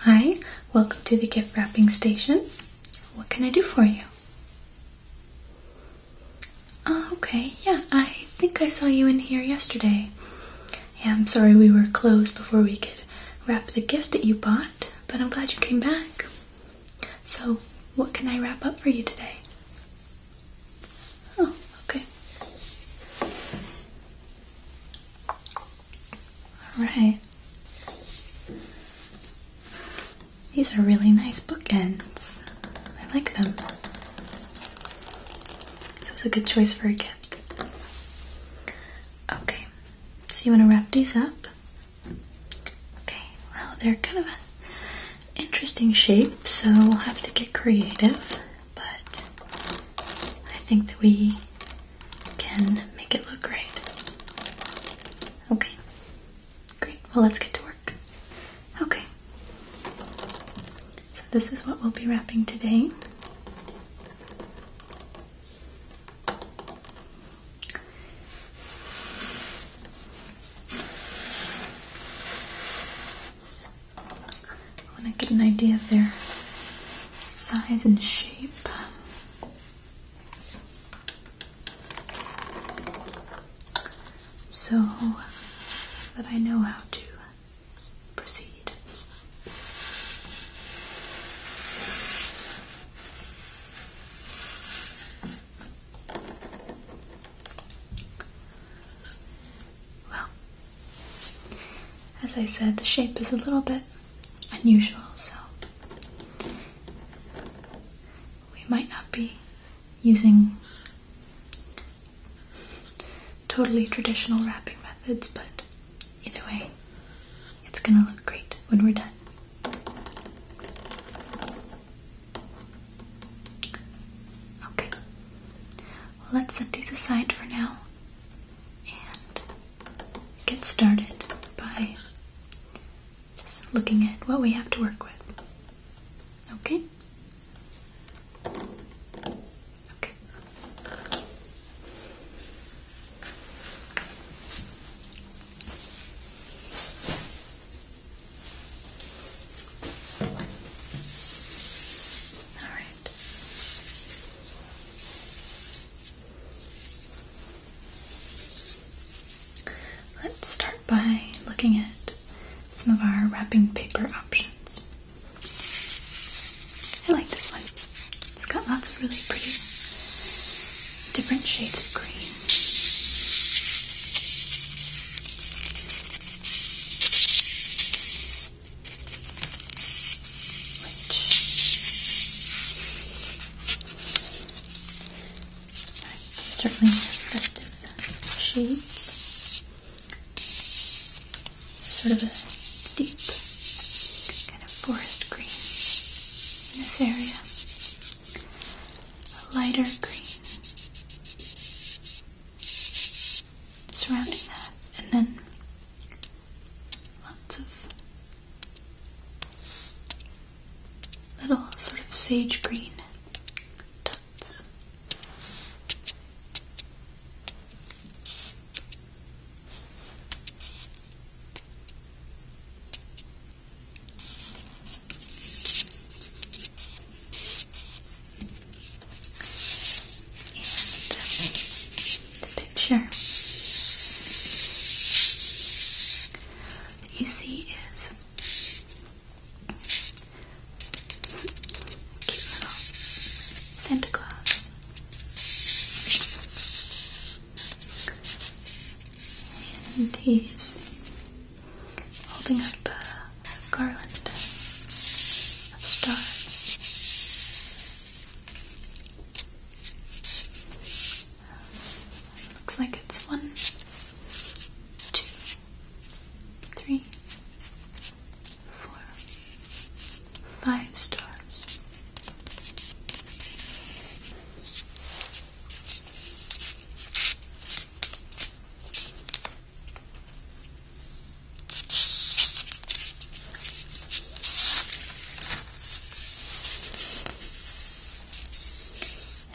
Hi, welcome to the gift wrapping station. What can I do for you? Oh, okay, yeah, I think I saw you in here yesterday. Yeah, I'm sorry we were closed before we could wrap the gift that you bought, but I'm glad you came back. So, what can I wrap up for you today? Oh, okay. Alright. These are really nice bookends. I like them. This was a good choice for a gift. Okay, so you want to wrap these up Okay, well, they're kind of an interesting shape, so we'll have to get creative, but I think that we can make it look great. Okay, great. Well, let's get to work. Okay, so this is what we'll be wrapping today. I want to get an idea of their size and shape. So that I know how to proceed. Well, as I said, the shape is a little bit unusual, so we might not be using totally traditional wrapping methods, but either way, it's gonna look great when we're done. Okay, let's set these aside for now and get started by just looking at what we have to work with. Okay? Okay. All right. Let's start by looking at some of our wrapping paper options. I like this one. It's got lots of really pretty different shades of green certainly festive shades. Sort of a deep kind of forest green in this area a lighter green surrounding that, and then lots of little sort of sage green dots the picture you see is cute little Santa Claus and he's holding up a, garland of stars. looks like it's one, two, three, four, five stars.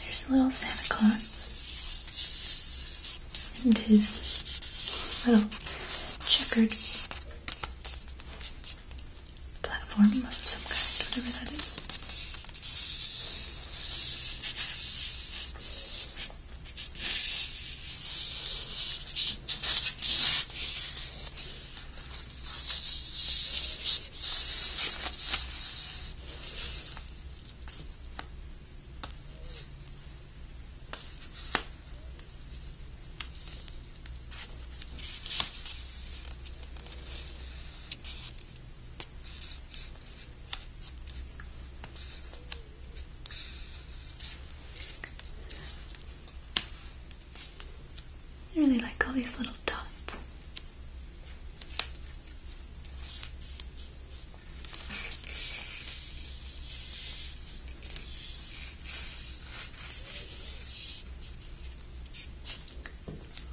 There's a little Santa Claus and his little checkered platform of some kind, whatever that is. I really like all these little dots.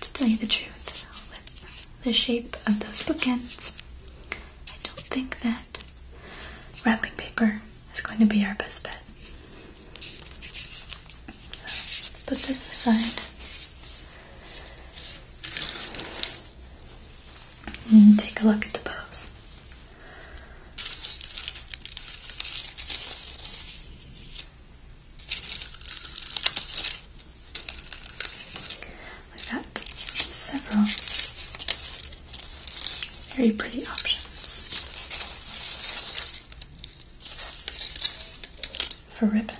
To tell you the truth, with the shape of those bookends, I don't think that wrapping paper is going to be our best bet. So let's put this aside. And take a look at the bows. We've got several very pretty options for ribbon.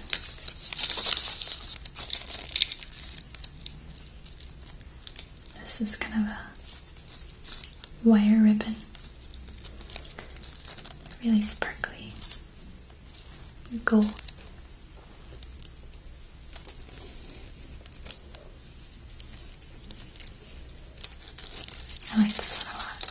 This is kind of a wire ribbon. Really sparkly gold. I like this one a lot.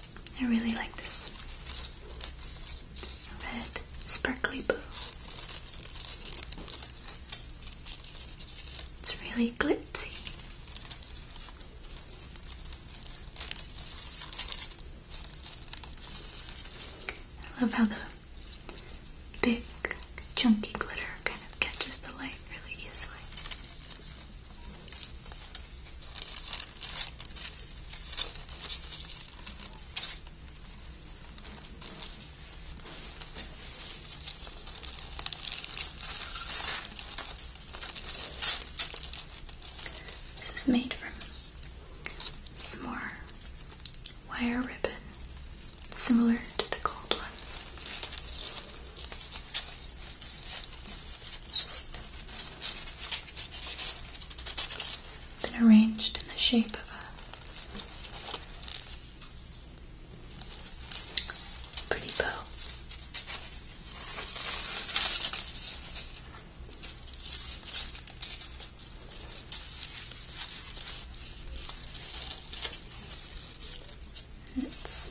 I really like this red sparkly boo. It's really glitzy. I love how the big chunky glitter kind of catches the light really easily. This is made from some more wire ribbon, similar to the gold one. Just then arranged in the shape of a pretty bow. It's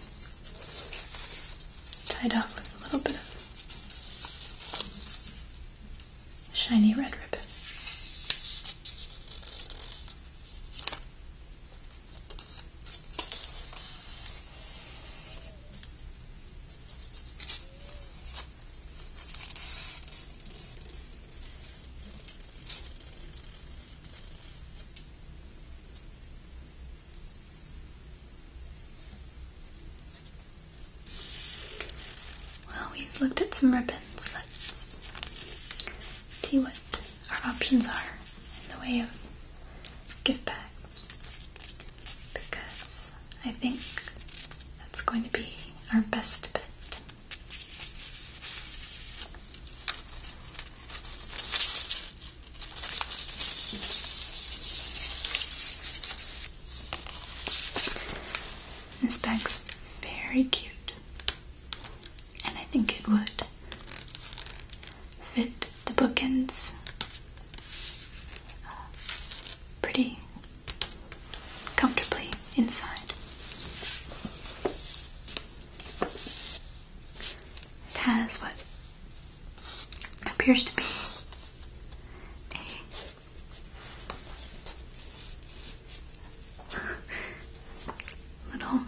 tied off with a little bit of shiny red ribbon. Well, we've looked at some ribbons. Let's see what our options are in the way of gift bags because I think that's going to be our best bet. This bag's very cute, and I think it would fit the bookends uh, pretty comfortably inside. It has what appears to be a little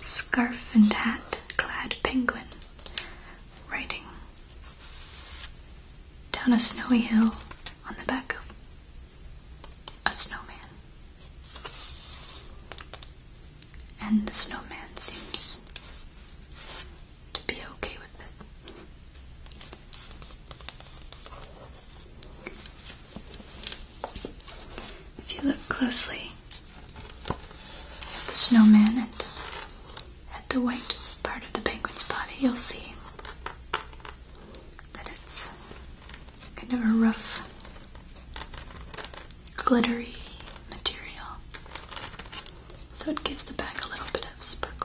scarf and hat clad penguin riding down a snowy hill on the back of a snowman. And the snowman seems to be okay with it. If you look closely at the snowman and at the white part of the penguin's body, you'll see that it's kind of a rough, glittery material so it gives the bag a little bit of sparkle.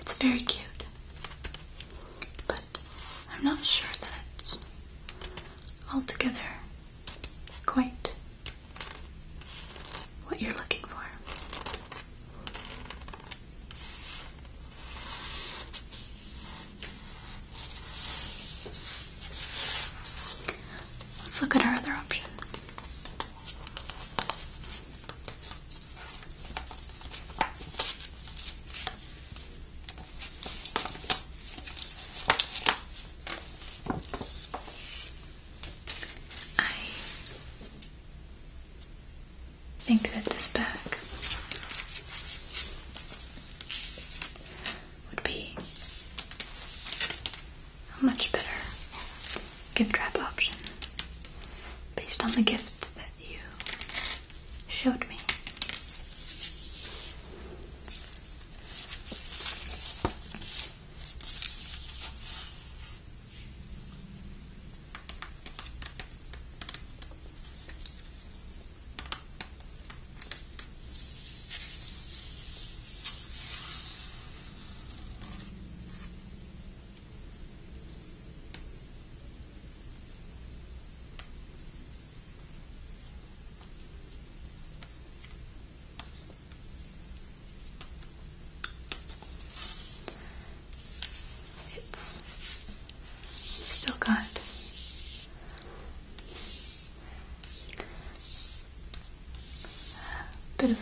It's very cute, but I'm not sure that it's altogether quite what you're looking for. Let's look at our other option. I think that this bag would be a much better gift wrap option based on the gift that you showed me. It's still got a bit of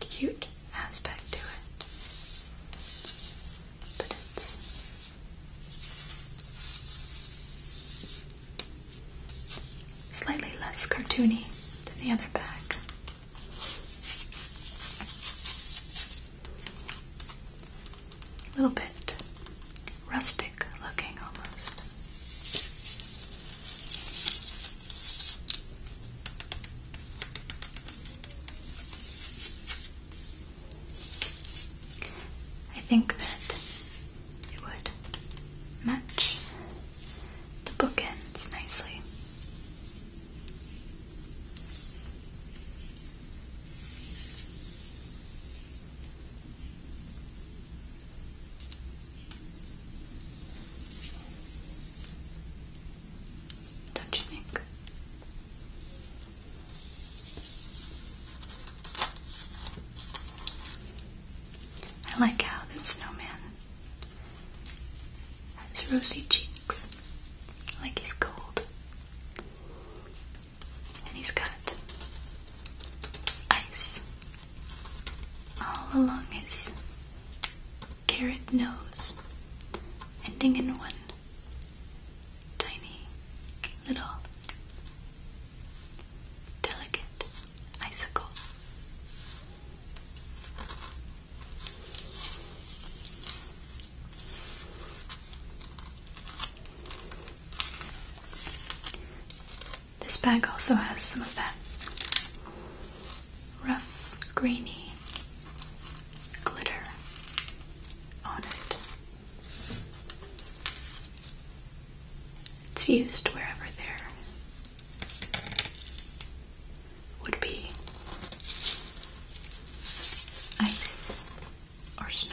a cute aspect to it, but it's slightly less cartoony than the other bag. A little bit rustic looking almost. I think that it would match the bookends nicely. Don't you think? I like how the snowman has rosy cheeks, like he's cold, and he's got ice all along his carrot nose, ending in one tiny little delicate icicle. This bag also has some of that rough, grainy glitter on it. It's used wherever there would be ice or snow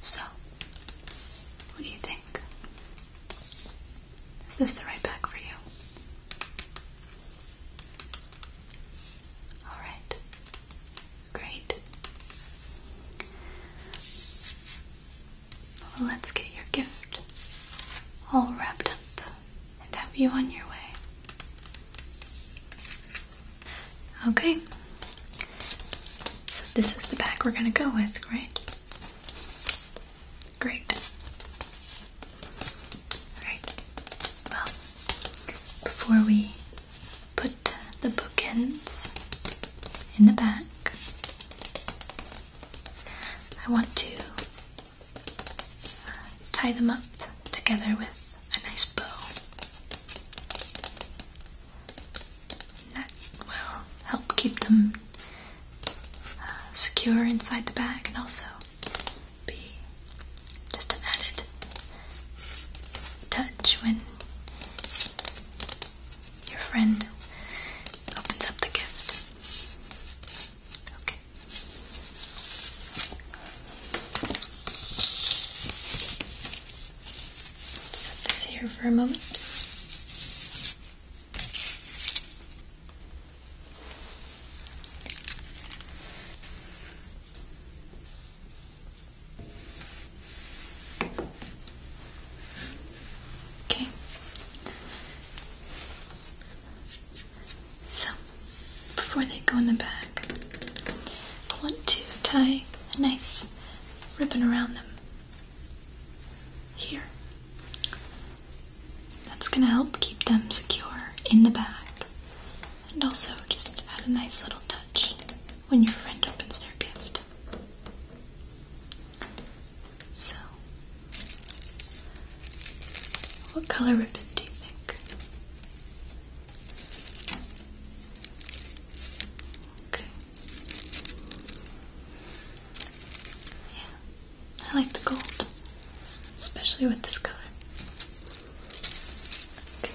So, what do you think? Is this the right bag for you? Alright. Great. let's get your gift all wrapped up and have you on your way. Okay. So, this is the bag we're going to go with, right? Great. Alright. Well, before we put the bookends in the back, I want to uh, tie them up together with a nice bow that will help keep them uh, secure inside the bag and also be just an added touch when your friend opens up the gift. Okay. Set this here for a moment. Okay. So, before they go in the bag, I want to tie a nice ribbon around them here. That's going to help keep them secure in the bag and also just add a nice little touch when your friend opens their gift. So, what color ribbon do you think? Okay. Yeah, I like the gold, especially with this color. Okay.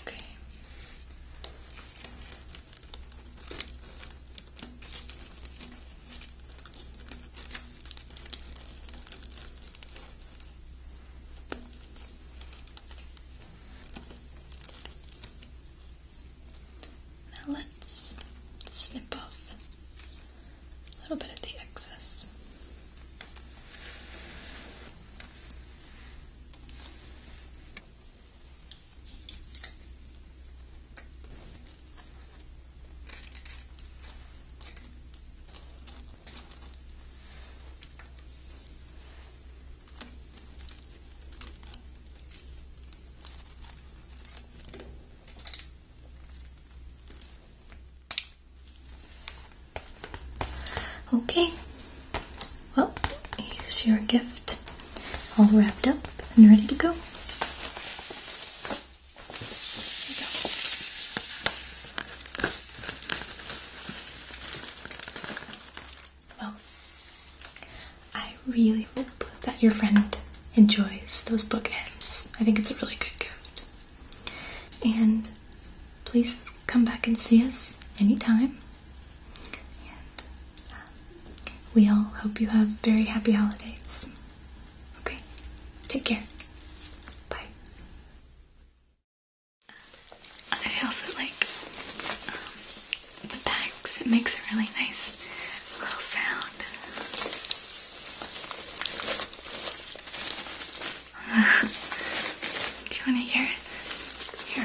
Okay. Now let's snip off a little bit of the excess. Okay, well, here's your gift all wrapped up and ready to go. Well, I really hope that your friend enjoys those bookends. I think it's a really good gift. And please come back and see us anytime. And um, we all hope you have very happy holidays. Okay? Take care. Bye. I also like um, the bags, it makes a really nice little sound. Do you want to hear it? Here.